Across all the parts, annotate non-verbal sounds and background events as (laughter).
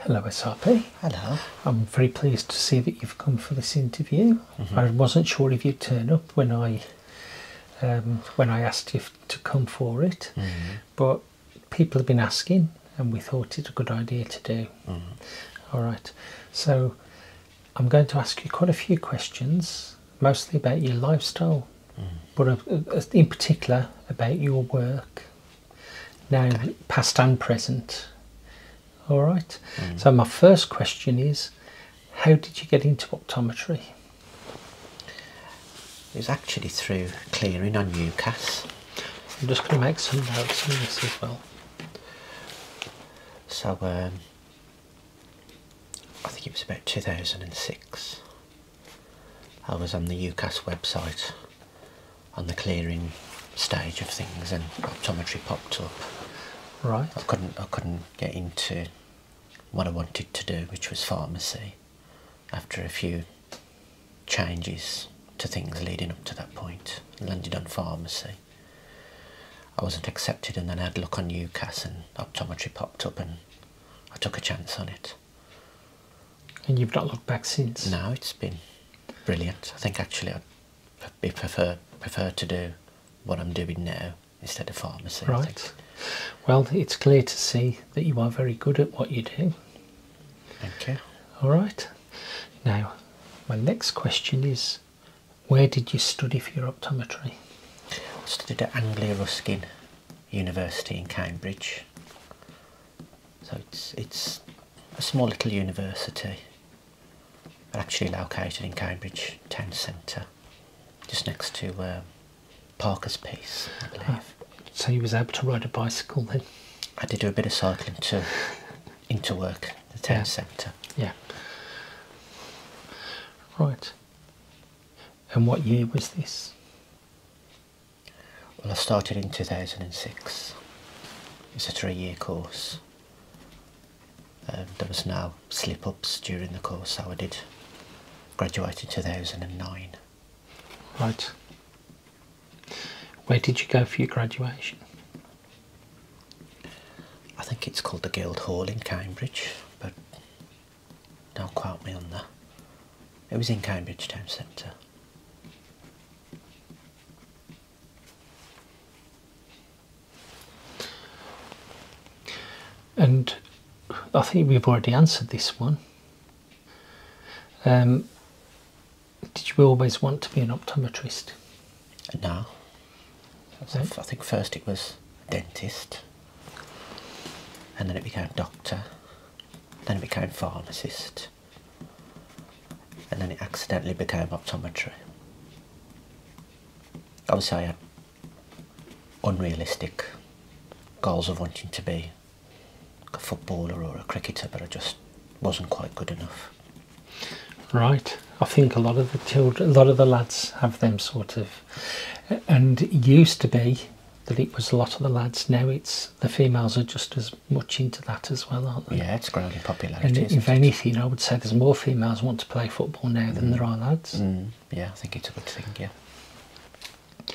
Hello SRP. Hello. I'm very pleased to see that you've come for this interview. Mm-hmm. I wasn't sure if you'd turn up when I um, when I asked you to come for it, mm-hmm. but people have been asking, and we thought it's a good idea to do. Mm-hmm. All right. So I'm going to ask you quite a few questions, mostly about your lifestyle, but uh, uh, in particular about your work. Now, past and present. All right. Mm. So, my first question is how did you get into optometry? It was actually through clearing on UCAS. I'm just going to make some notes on this as well. So, um, I think it was about 2006. I was on the UCAS website on the clearing stage of things and optometry popped up. Right. I couldn't I couldn't get into what I wanted to do, which was pharmacy, after a few changes to things leading up to that point. landed on pharmacy. I wasn't accepted and then I had a look on UCAS and optometry popped up and I took a chance on it. And you've not looked back since? No, it's been brilliant. I think actually I'd prefer, prefer to do what I'm doing now instead of pharmacy. Right. Well, it's clear to see that you are very good at what you do. Thank you. All right. Now, my next question is where did you study for your optometry? I studied at Anglia Ruskin University in Cambridge. So it's, it's a small little university, actually located in Cambridge town centre, just next to uh, Parker's Piece, I believe. so you was able to ride a bicycle then? I did do a bit of cycling to (laughs) into work, the town centre. Yeah. Right. And what year was this? Well, I started in 2006. It's a three year course. Um, there was no slip ups during the course, so I did graduate in 2009. Right. Where did you go for your graduation? I think it's called the Guildhall in Cambridge, but don't quote me on that. It was in Cambridge Town Centre. And I think we've already answered this one. Um, did you always want to be an optometrist? no. I think first it was dentist, and then it became doctor, then it became pharmacist, and then it accidentally became optometry. Obviously, I had unrealistic goals of wanting to be a footballer or a cricketer, but I just wasn't quite good enough. Right. I think a lot of the children, a lot of the lads have them sort of, and used to be that it was a lot of the lads. Now it's the females are just as much into that as well, aren't they? Yeah, it's growing in popularity. if anything, I would say there's more females want to play football now than mm. there are lads. Mm. Yeah, I think it's a good thing. Yeah.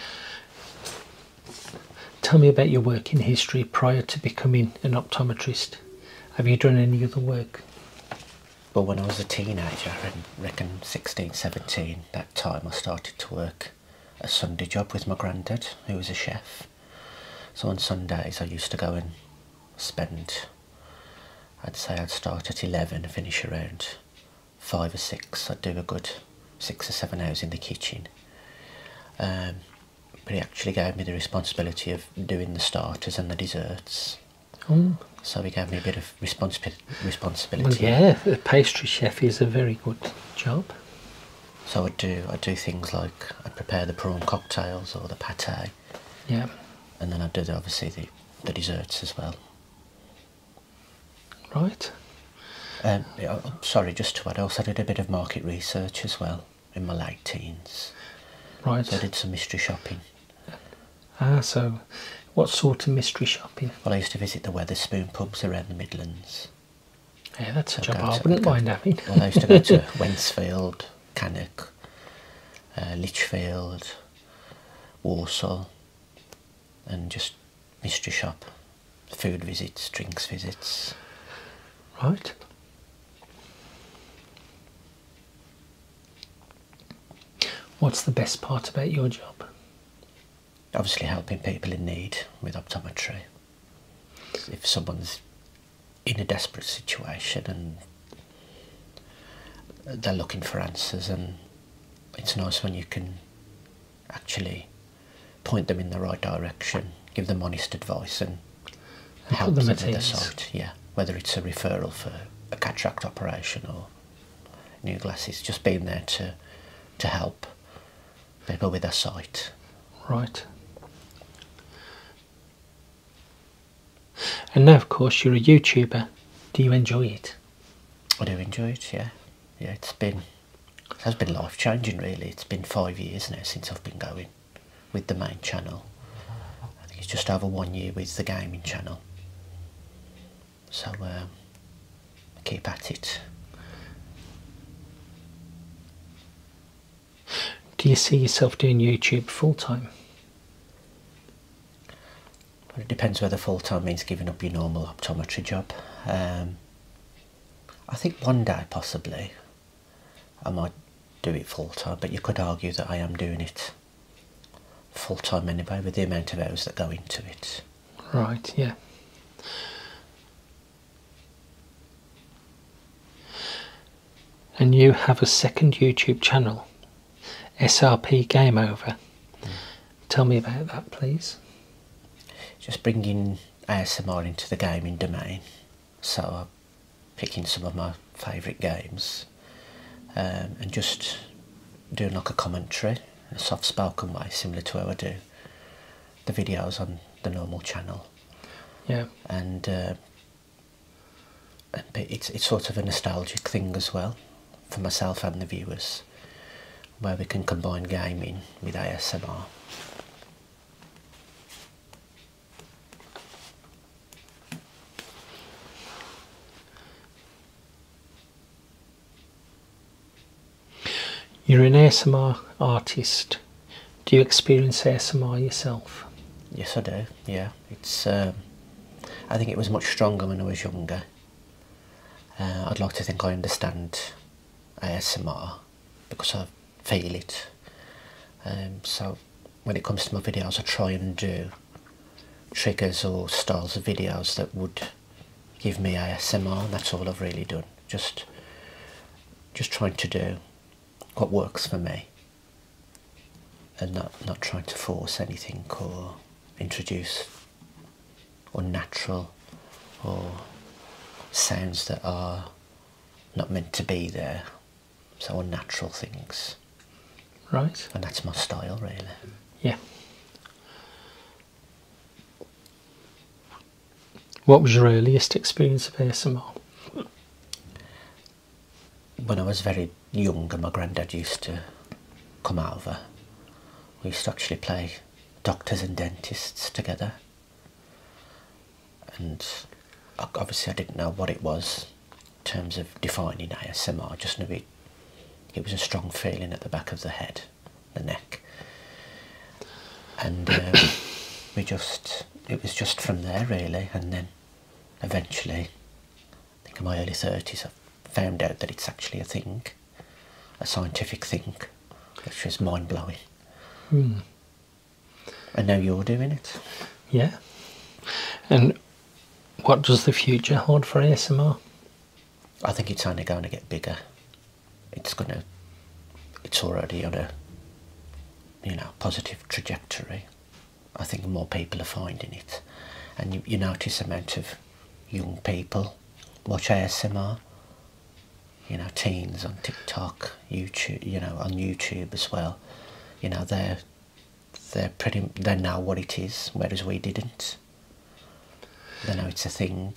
Tell me about your work in history prior to becoming an optometrist. Have you done any other work? Well, when I was a teenager, reckon 16, 17, that time I started to work a Sunday job with my granddad, who was a chef. So on Sundays I used to go and spend, I'd say I'd start at 11 finish around 5 or 6. I'd do a good 6 or 7 hours in the kitchen. Um, but he actually gave me the responsibility of doing the starters and the desserts. Oh. So he gave me a bit of responsibility. yeah, a pastry chef is a very good job. So I do I do things like I would prepare the prawn cocktails or the pate. Yeah. And then I would do obviously the, the desserts as well. Right. Um, sorry, just to add, also I did a bit of market research as well in my late teens. Right. So I did some mystery shopping. Ah, so what sort of mystery shopping? Well, I used to visit the Weatherspoon pubs around the Midlands. Yeah, that's a job I wouldn't mind having. well, I used to go to (laughs) Wensfield, Cannock, uh, Lichfield, Warsaw, and just mystery shop, food visits, drinks visits. Right. What's the best part about your job? obviously helping people in need with optometry. If someone's in a desperate situation and they're looking for answers and it's nice when you can actually point them in the right direction, give them honest advice and, help them, them at their sight. Yeah, whether it's a referral for a cataract operation or new glasses, just being there to to help bigger with a sight. Right. And now, of course, you're a YouTuber. Do you enjoy it? I do enjoy it. Yeah, yeah. It's been it has been life changing. Really, it's been five years now since I've been going with the main channel. I think it's just over one year with the gaming channel so um, keep at it. Do you see yourself doing YouTube full time? Well, it depends whether full time means giving up your normal optometry job. Um, I think one day possibly I might do it full time, but you could argue that I am doing it full time anyway with the amount of hours that go into it. Right, yeah. And you have a second YouTube channel, SRP Game Over. Tell me about that, please. Just bringing ASMR into the gaming domain. So I'm picking some of my favourite games um, and just doing like a commentary a soft spoken way, similar to how I do the videos on the normal channel. Yeah. Uh, and it's it's sort of a nostalgic thing as well for myself and the viewers, where we can combine gaming with ASMR. You're an ASMR artist. Do you experience ASMR yourself? Yes, I do. Yeah, it's. Um, I think it was much stronger when I was younger. Uh, I'd like to think I understand ASMR because I feel it. Um, so when it comes to my videos, I try and do triggers or styles of videos that would give me a ASMR. That's all I've really done. Just, just trying to do what works for me, and not not trying to force anything or introduce unnatural or sounds that are not meant to be there. So unnatural things. Right. And that's my style, really. Yeah. What was your earliest experience of ASMR? When I was very young, and my granddad used to come over, we used to actually play doctors and dentists together. And obviously, I didn't know what it was in terms of defining ASMR, just a bit it was a strong feeling at the back of the head the neck. And um, (coughs) we just, it was just from there really. And then eventually, I think in my early 30s, I found out that it's actually a thing, a scientific thing, which was mind blowing. I hmm. know you're doing it. Yeah. And what does the future hold for ASMR? I think it's only going to get bigger. It's going to, it's already on a, you know, positive trajectory. I think more people are finding it. And you, notice a amount of young people watch ASMR, you know, teens on TikTok, YouTube, you know, on YouTube as well. You know, they're, they're pretty, they know what it is, whereas we didn't. They know it's a thing.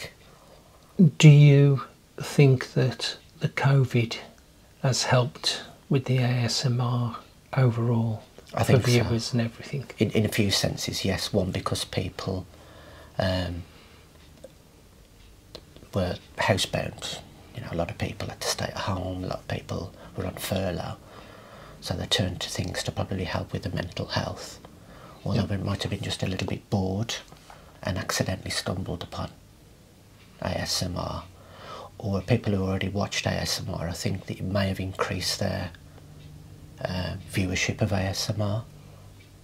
Do you think that the COVID has helped with the ASMR overall I for viewers and everything? In, a few senses, yes. One, because people um, were housebound. You know, a lot of people had to stay at home. A lot of people were on furlough, so they turned to things to probably help with their mental health although it might have been just a little bit bored and accidentally stumbled upon ASMR. Or people who already watched ASMR, I think that it may have increased their uh, viewership of ASMR.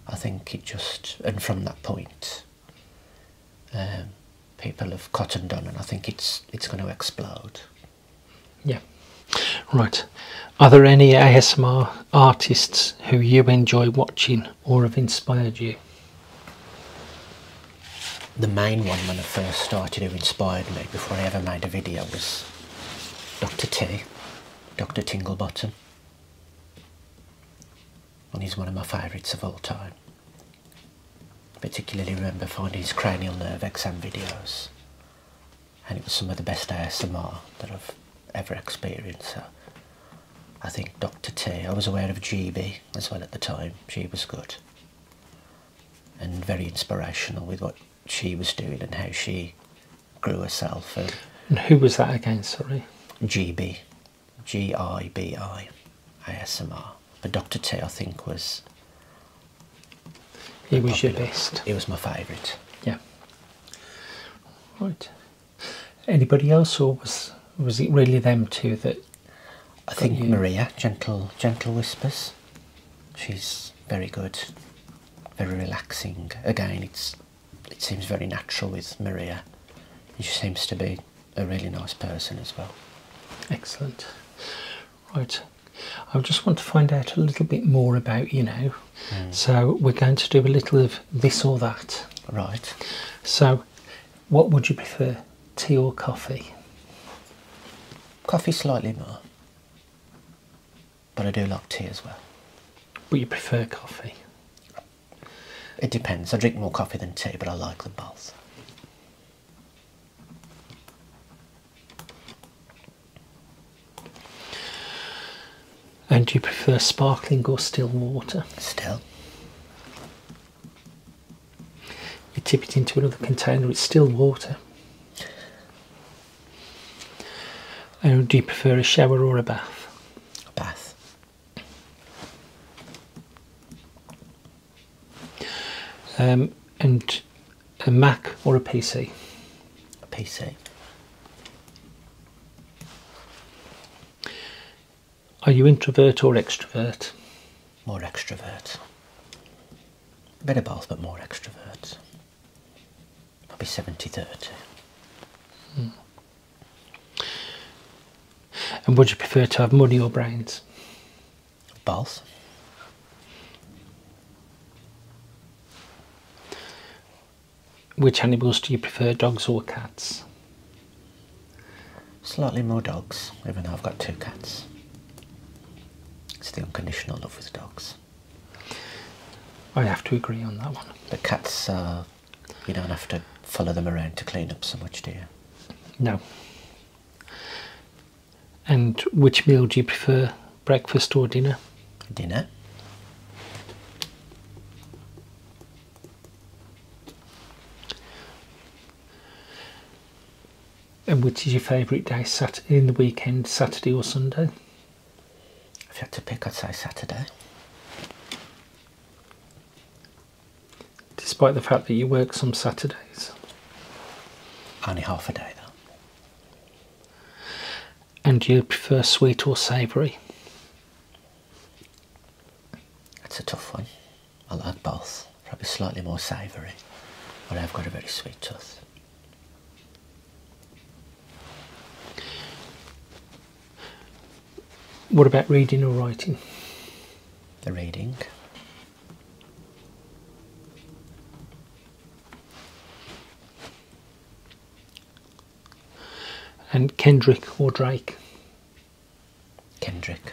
I think it just, and from that point, um, people have cottoned on, and I think it's it's going to explode. Yeah. Right. Are there any ASMR artists who you enjoy watching or have inspired you? The main one when I first started who inspired me before I ever made a video was Dr. T, Dr. Tinglebottom. And he's one of my favourites of all time. Particularly remember finding his cranial nerve exam videos and it was some of the best ASMR that I've ever experienced. I think Dr. T, I was aware of GB as well at the time, she was good and very inspirational with what she was doing and how she grew herself. And, and who was that again, sorry? GB, G I B I ASMR. But Dr. T, I think, was it was your best. It was my favourite. Yeah. Right. Anybody else, or was was it really them too? that? I think Maria, gentle, gentle whispers. She's very good, very relaxing. Again, it's it seems very natural with Maria. She seems to be a really nice person as well. Excellent. Right. I just want to find out a little bit more about you now. Hmm. So we're going to do a little of this or that. Right. So what would you prefer, tea or coffee? Coffee slightly more. But I do like tea as well. But you prefer coffee? It depends. I drink more coffee than tea, but I like them both. And do you prefer sparkling or still water? Still. You tip it into another container, it's still water. And do you prefer a shower or a bath? A bath. Um, and a Mac or a PC? A PC. Are you introvert or extrovert? More extrovert. A bit of both, but more extrovert. Probably 70 30. Hmm. And would you prefer to have money or brains? Both. Which animals do you prefer, dogs or cats? Slightly more dogs, even though I've got two cats. It's the unconditional love with dogs. I have to agree on that one. The cats, uh, you don't have to follow them around to clean up so much, do you? No. And which meal do you prefer, breakfast or dinner? Dinner. And which is your favourite day sat in the weekend, Saturday or Sunday? If you had to pick, I'd say Saturday. Despite the fact that you work some Saturdays? Only half a day, though and you prefer sweet or savoury? That's a tough one. I will add both. Probably slightly more savoury, but I've got a very sweet tooth. What about reading or writing? The reading. And Kendrick or Drake? Kendrick.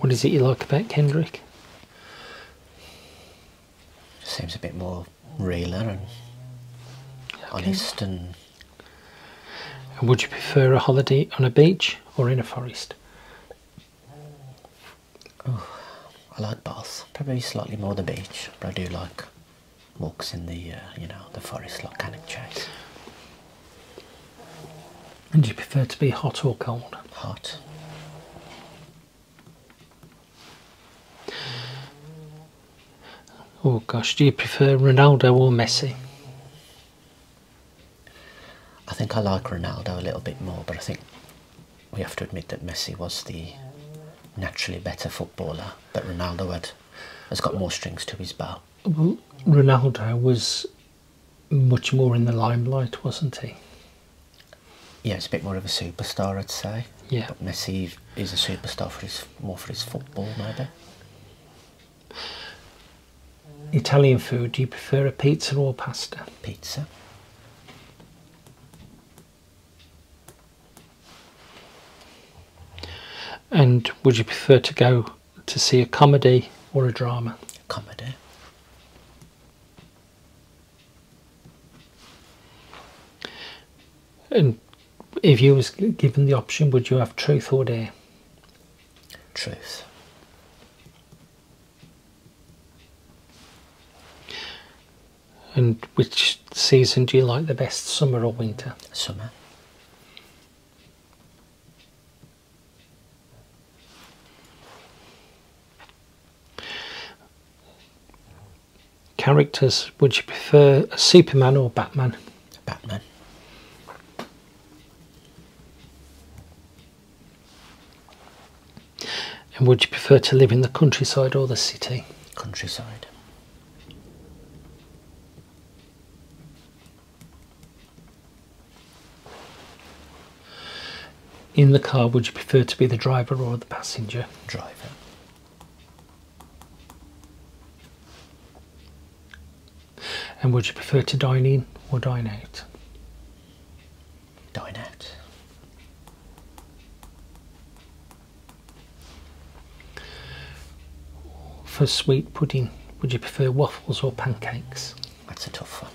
What is it you like about Kendrick? Seems a bit more realer and okay. honest and. Would you prefer a holiday on a beach or in a forest? Oh, I like baths. Probably slightly more the beach, but I do like walks in the uh, you know the forest like Cannock Chase. And do you prefer to be hot or cold? Hot. Oh gosh, do you prefer Ronaldo or Messi? I think I like Ronaldo a little bit more, but I think we have to admit that Messi was the naturally better footballer, but Ronaldo had, has got more strings to his bow. Ronaldo was much more in the limelight, wasn't he? Yeah, it's a bit more of a superstar, I'd say. Yeah. Messi is a superstar for his more for his football, maybe. Italian food, do you prefer a pizza or pasta? Pizza. And would you prefer to go to see a comedy or a drama? Comedy. And if you was given the option, would you have truth or dare? Truth. And which season do you like the best, summer or winter? Summer. Characters, would you prefer Superman or Batman? Batman. And would you prefer to live in the countryside or the city? Countryside. In the car, would you prefer to be the driver or the passenger? Driver. And would you prefer to dine in or dine out? Dine out. For sweet pudding, would you prefer waffles or pancakes? That's a tough one.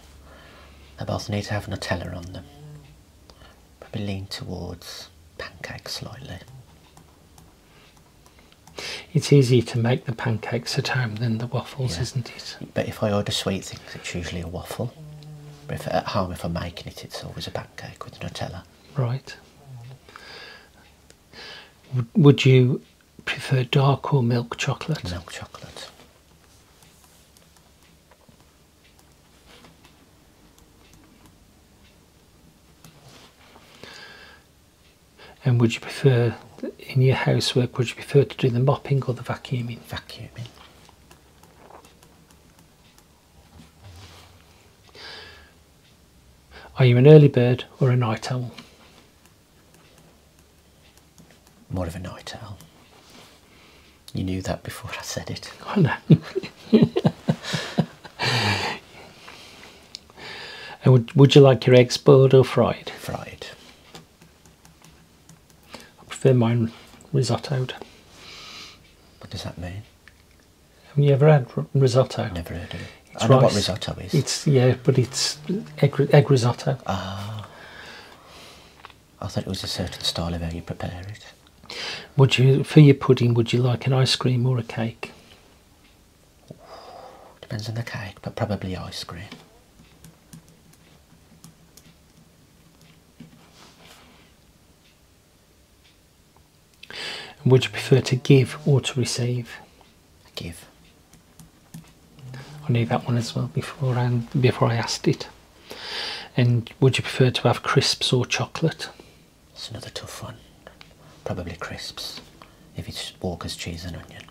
They both need to have Nutella on them. Probably lean towards pancakes slightly. It's easier to make the pancakes at home than the waffles, isn't it? But if I order sweet things, it's usually a waffle. But at home, if I'm making it, it's always a pancake with Nutella. Right. would you prefer dark or milk chocolate? Milk chocolate. And would you prefer, in your housework, would you prefer to do the mopping or the vacuuming? Vacuuming. Are you an early bird or a night owl? More of a night owl. You knew that before I said it. (laughs) I know. and would, would you like your eggs boiled or fried? Fried. I prefer mine risottoed. What does that mean? Have you ever had risotto? Never heard of it. It's I know what risotto is. It's yeah, but it's egg, egg risotto. Ah, I thought it was a certain style of how you prepare it. Would you, for your pudding, would you like an ice cream or a cake? Depends on the cake, but probably ice cream. Would you prefer to give or to receive? Give. I knew that one as well before and before I asked it. And would you prefer to have crisps or chocolate? It's another tough one. Probably crisps, if it's Walker's cheese and onion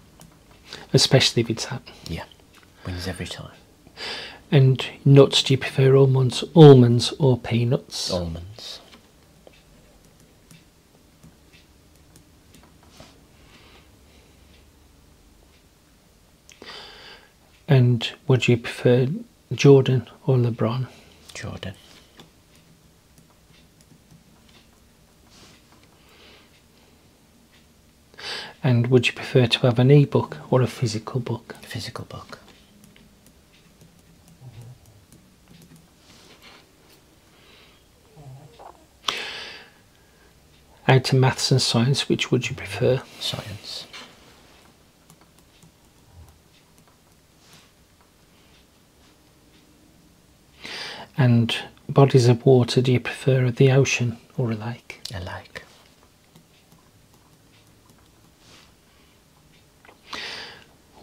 especially if it's that. Yeah, wins every time. And nuts, do you prefer almonds, almonds or peanuts? Almonds. And would you prefer Jordan or LeBron? Jordan. And would you prefer to have an e-book or a physical book? A physical book. Out of maths and science, which would you prefer? Science. And bodies of water, do you prefer the ocean or a lake? A lake.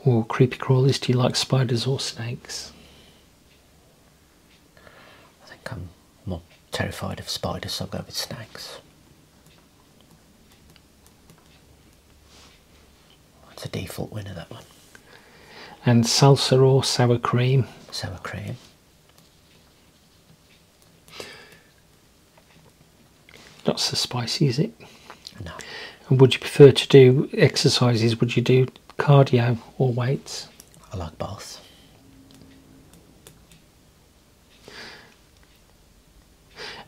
Or creepy crawlies, do you like spiders or snakes? I think I'm more terrified of spiders, so I'll go with snakes. It's a default winner, that one. And salsa or sour cream? Sour cream. Not so spicy, is it? No. And would you prefer to do exercises? Would you do cardio or weights? I like both.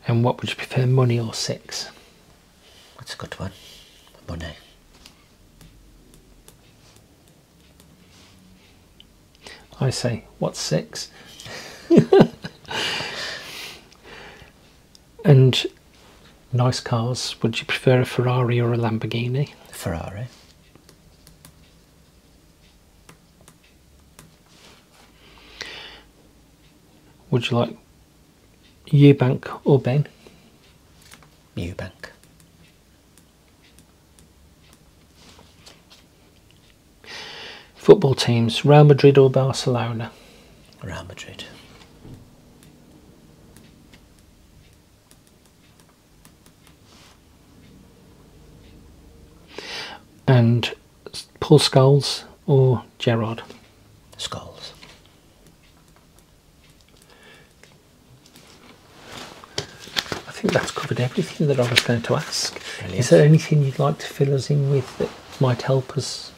And what would you prefer, money or sex? That's a good one. Money. I say, what's six? (laughs) and nice cars. Would you prefer a Ferrari or a Lamborghini? Ferrari. Would you like Eubank or Ben? Eubank. Football teams, Real Madrid or Barcelona? Real Madrid. And Paul skulls or Gerard? skulls? I think that's covered everything that I was going to ask. Is there anything you'd like to fill us in with that might help us?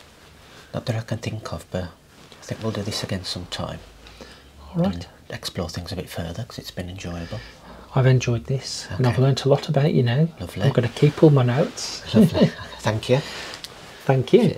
Not that I can think of, but I think we'll do this again sometime. and explore things a bit further because it's been enjoyable. I've enjoyed this and I've learnt a lot about you now. Lovely. I'm going to keep all my notes. Lovely. (laughs) Thank you. Thank you.